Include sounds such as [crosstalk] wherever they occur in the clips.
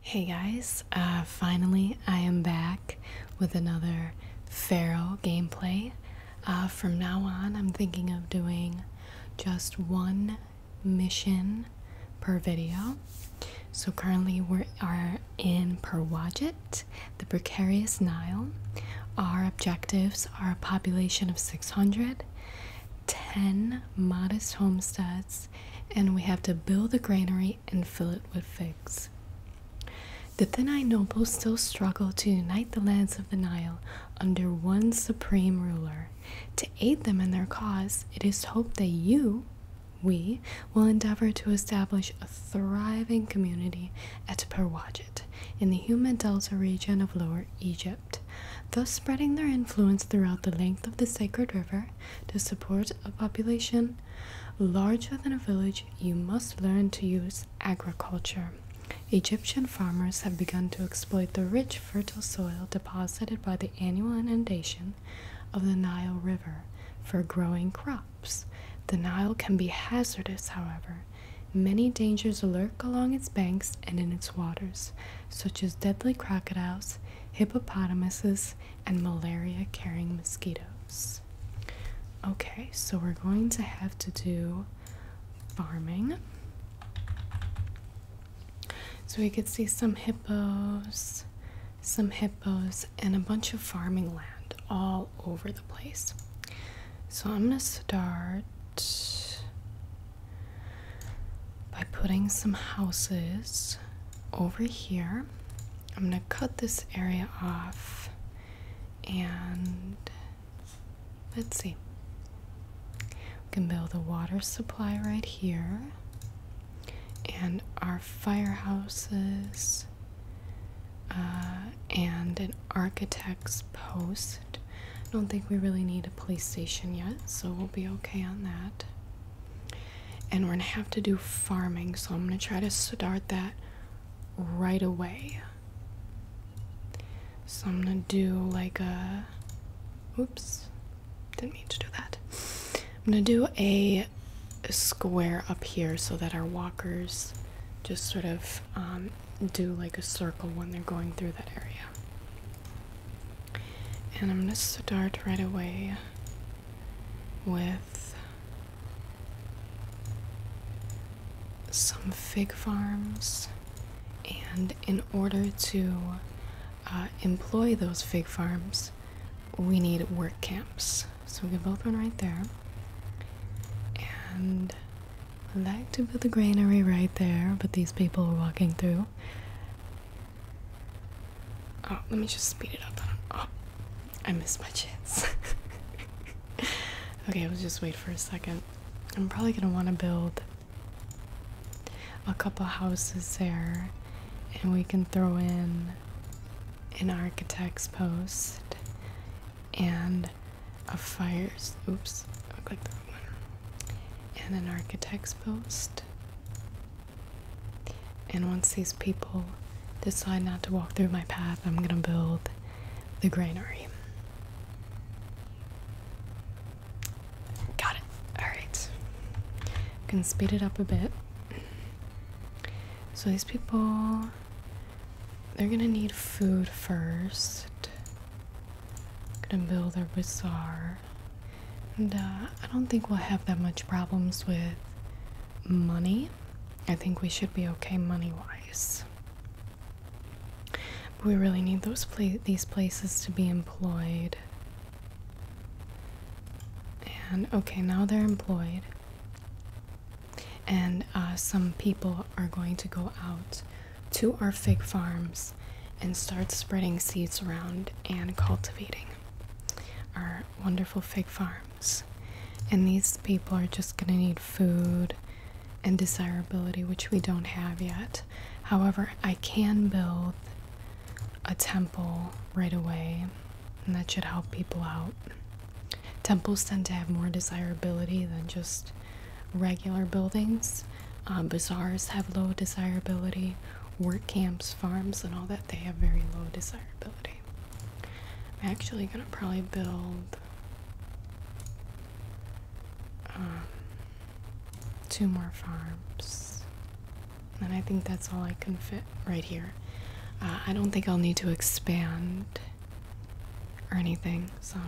Hey guys, uh, finally I am back with another Pharaoh gameplay. Uh, from now on, I'm thinking of doing just one mission per video. So currently we are in Perwajet, the Precarious Nile. Our objectives are a population of 600, 10 modest homesteads, and we have to build a granary and fill it with figs. The Thinai nobles still struggle to unite the lands of the Nile under one supreme ruler. To aid them in their cause, it is hoped that you, we, will endeavor to establish a thriving community at Perwajet in the humid delta region of Lower Egypt thus spreading their influence throughout the length of the sacred river to support a population larger than a village. You must learn to use agriculture. Egyptian farmers have begun to exploit the rich, fertile soil deposited by the annual inundation of the Nile River for growing crops. The Nile can be hazardous, however. Many dangers lurk along its banks and in its waters, such as deadly crocodiles, hippopotamuses, and malaria carrying mosquitoes. Okay, so we're going to have to do farming. So we could see some hippos, some hippos, and a bunch of farming land all over the place. So I'm going to start by putting some houses over here. I'm going to cut this area off and let's see. We can build a water supply right here and our firehouses uh, and an architect's post. I don't think we really need a police station yet, so we'll be okay on that. And we're gonna have to do farming, so I'm gonna try to start that right away. So I'm gonna do like a. Oops, didn't mean to do that. I'm gonna do a square up here so that our walkers just sort of um, do like a circle when they're going through that area. And I'm going to start right away with some fig farms. And in order to uh, employ those fig farms, we need work camps. So we can build one right there. And like to build a granary right there, but these people are walking through. Oh, let me just speed it up. Oh, I missed my chance. [laughs] okay, I was just wait for a second. I'm probably gonna want to build a couple houses there, and we can throw in an architect's post and of fires. Oops, I clicked one. And an architect's post. And once these people decide not to walk through my path, I'm gonna build the granary. Got it. Alright. Can speed it up a bit. So these people they're gonna need food first gonna build a bazaar. And uh, I don't think we'll have that much problems with money. I think we should be okay money wise. But we really need those pla these places to be employed. And okay, now they're employed. And uh, some people are going to go out to our fig farms and start spreading seeds around and cultivating our wonderful fig farms. And these people are just going to need food and desirability, which we don't have yet. However, I can build a temple right away, and that should help people out. Temples tend to have more desirability than just regular buildings. Um, bazaars have low desirability, work camps, farms, and all that, they have very low desirability. I'm actually going to probably build um, two more farms. And I think that's all I can fit right here. Uh, I don't think I'll need to expand or anything, so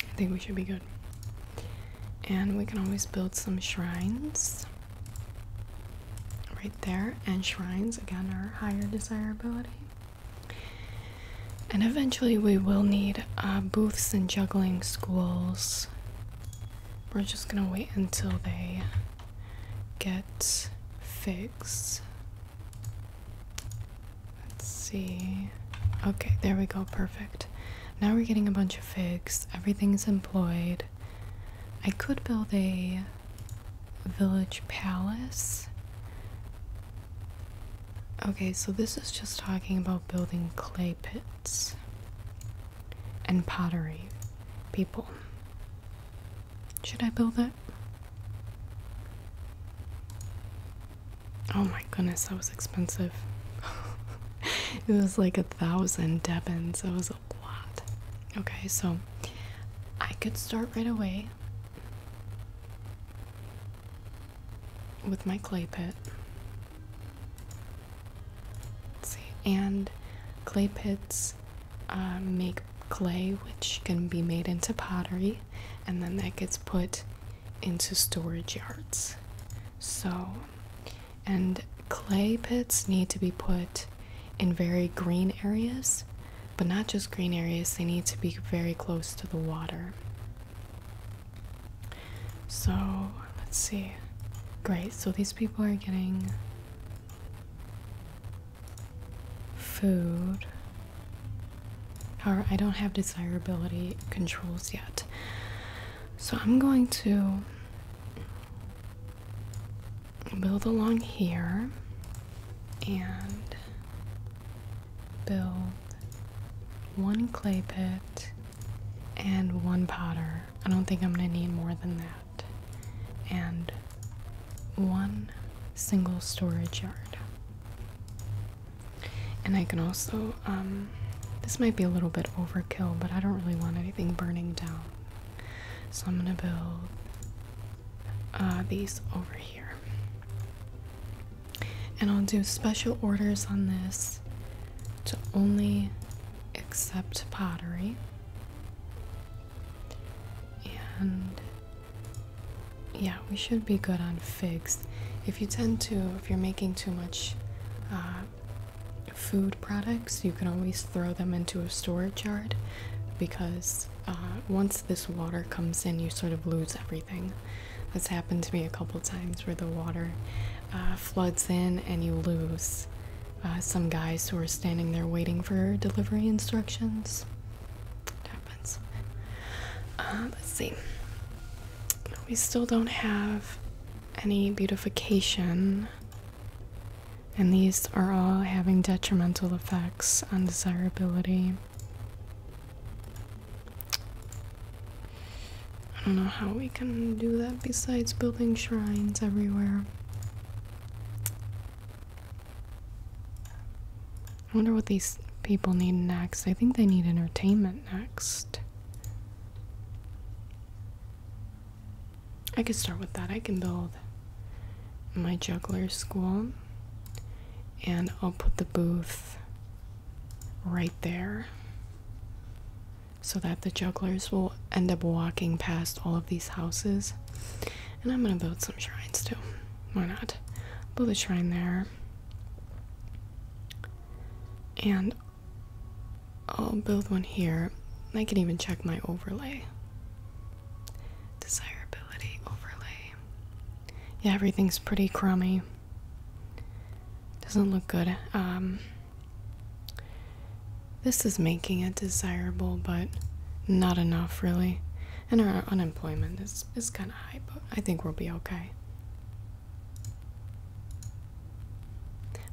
I think we should be good. And we can always build some shrines right there, and shrines again are higher desirability. And eventually, we will need uh, booths and juggling schools. We're just gonna wait until they get fixed. Let's see. Okay, there we go. Perfect. Now we're getting a bunch of figs. Everything's employed. I could build a village palace. Okay, so this is just talking about building clay pits and pottery people. Should I build it? Oh my goodness, that was expensive. [laughs] it was like a thousand Debbins. That was a lot. Okay, so I could start right away with my clay pit. see, and clay pits um, make clay, which can be made into pottery, and then that gets put into storage yards. So, and clay pits need to be put in very green areas, but not just green areas, they need to be very close to the water. So, let's see. Great, so these people are getting food. However, I don't have desirability controls yet. So I'm going to build along here and build one clay pit and one potter. I don't think I'm going to need more than that and one single storage yard. And I can also, um, this might be a little bit overkill, but I don't really want anything burning down. So I'm gonna build uh, these over here. And I'll do special orders on this to only accept pottery. And yeah, we should be good on figs. If you tend to, if you're making too much uh, food products, you can always throw them into a storage yard because uh, once this water comes in, you sort of lose everything. That's happened to me a couple times where the water uh, floods in and you lose uh, some guys who are standing there waiting for delivery instructions. It happens. Uh, let's see. We still don't have any beautification, and these are all having detrimental effects on desirability. I don't know how we can do that besides building shrines everywhere. I wonder what these people need next. I think they need entertainment next. I could start with that. I can build my juggler school and I'll put the booth right there so that the jugglers will end up walking past all of these houses. And I'm gonna build some shrines too. Why not? Build a shrine there. And I'll build one here. I can even check my overlay. Desirability overlay. Yeah, everything's pretty crummy. Doesn't look good. Um, this is making it desirable, but not enough, really. And our unemployment is, is kind of high, but I think we'll be okay.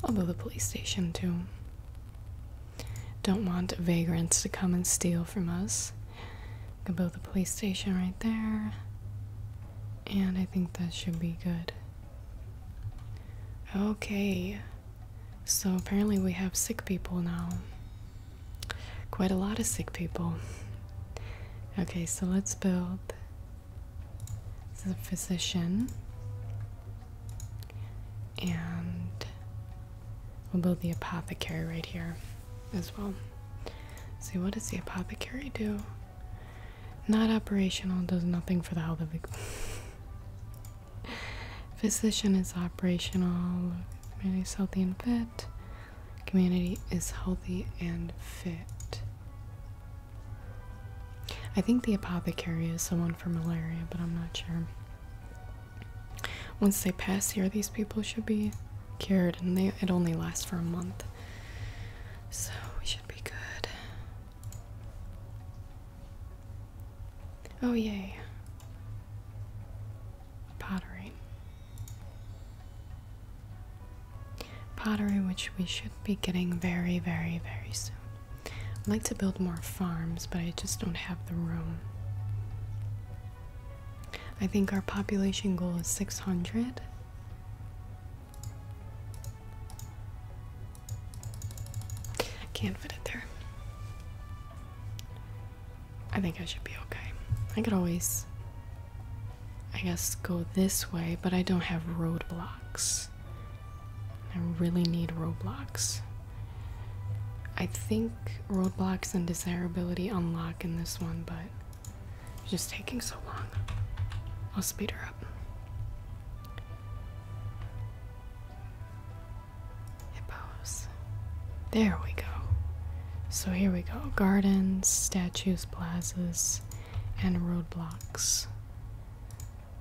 I'll build a police station, too. Don't want vagrants to come and steal from us. We can build a police station right there. And I think that should be good. Okay, so apparently we have sick people now. Quite a lot of sick people. Okay, so let's build. the physician. And we'll build the apothecary right here as well. See, what does the apothecary do? Not operational does nothing for the health of the [laughs] physician is operational. Community is healthy and fit. Community is healthy and fit. I think the apothecary is someone for malaria, but I'm not sure. Once they pass here, these people should be cured, and they it only lasts for a month. So we should be good. Oh, yay. Pottery. Pottery, which we should be getting very, very, very soon. I'd like to build more farms, but I just don't have the room. I think our population goal is 600. I can't fit it there. I think I should be okay. I could always, I guess, go this way, but I don't have roadblocks. I really need roadblocks. I think roadblocks and desirability unlock in this one, but it's just taking so long. I'll speed her up. Hippos. There we go. So here we go gardens, statues, plazas, and roadblocks.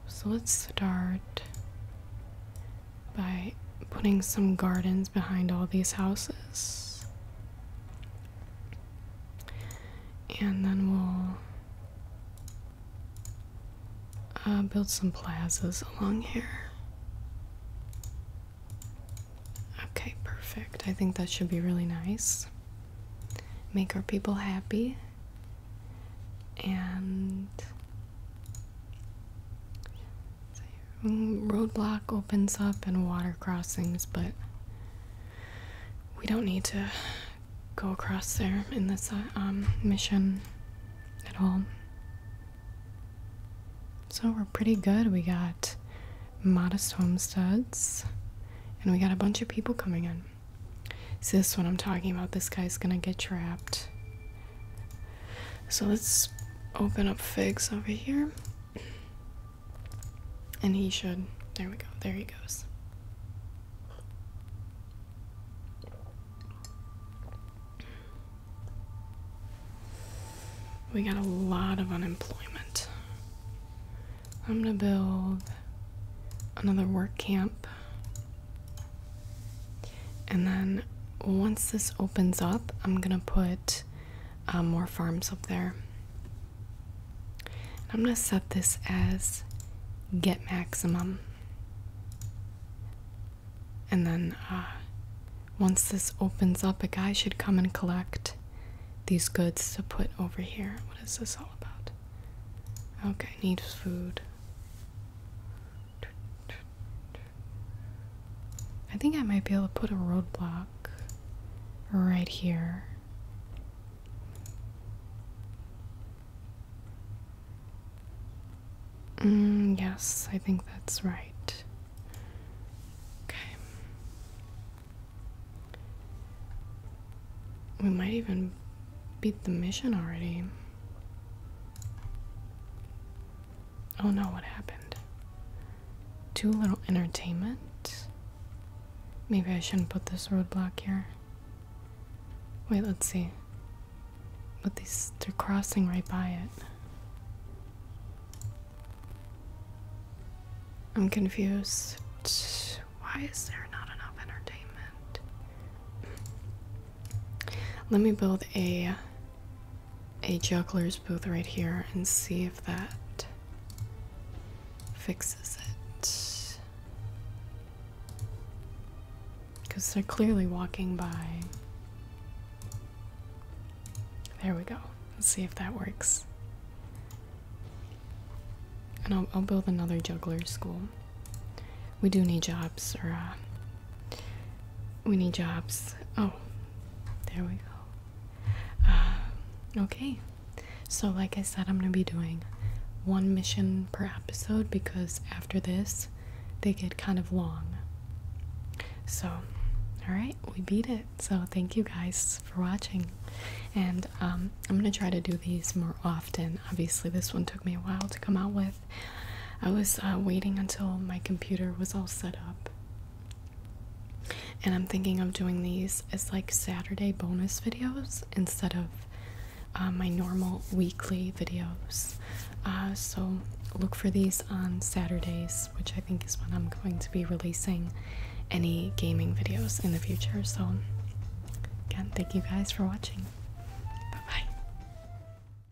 So let's start by putting some gardens behind all these houses. And then we'll uh, build some plazas along here. Okay, perfect. I think that should be really nice. Make our people happy. And roadblock opens up and water crossings, but we don't need to go across there in this uh, um, mission at all. So we're pretty good. We got modest homesteads and we got a bunch of people coming in. See, this is what I'm talking about. This guy's gonna get trapped. So let's open up figs over here. And he should. There we go. There he goes. We got a lot of unemployment. I'm gonna build another work camp. And then once this opens up, I'm gonna put um, more farms up there. I'm going to set this as get maximum. And then uh, once this opens up, a guy should come and collect these goods to put over here. What is this all about? Okay, need food. I think I might be able to put a roadblock right here. Mm, yes, I think that's right. Okay. We might even beat the mission already. Oh no, what happened? Too little entertainment? Maybe I shouldn't put this roadblock here. Wait, let's see. But these, they're crossing right by it. I'm confused. Why is there not enough entertainment? Let me build a a juggler's booth right here and see if that fixes it. Because they're clearly walking by. There we go. Let's see if that works. And I'll, build another juggler's school. We do need jobs or uh, we need jobs. Oh, there we go. Uh, okay, so like I said, I'm gonna be doing one mission per episode because after this, they get kind of long. So, alright, we beat it. So, thank you guys for watching. And um, I'm gonna try to do these more often. Obviously, this one took me a while to come out with, I was uh, waiting until my computer was all set up. And I'm thinking of doing these as like Saturday bonus videos instead of uh, my normal weekly videos. Uh, so look for these on Saturdays, which I think is when I'm going to be releasing any gaming videos in the future. So, again, thank you guys for watching. Bye bye.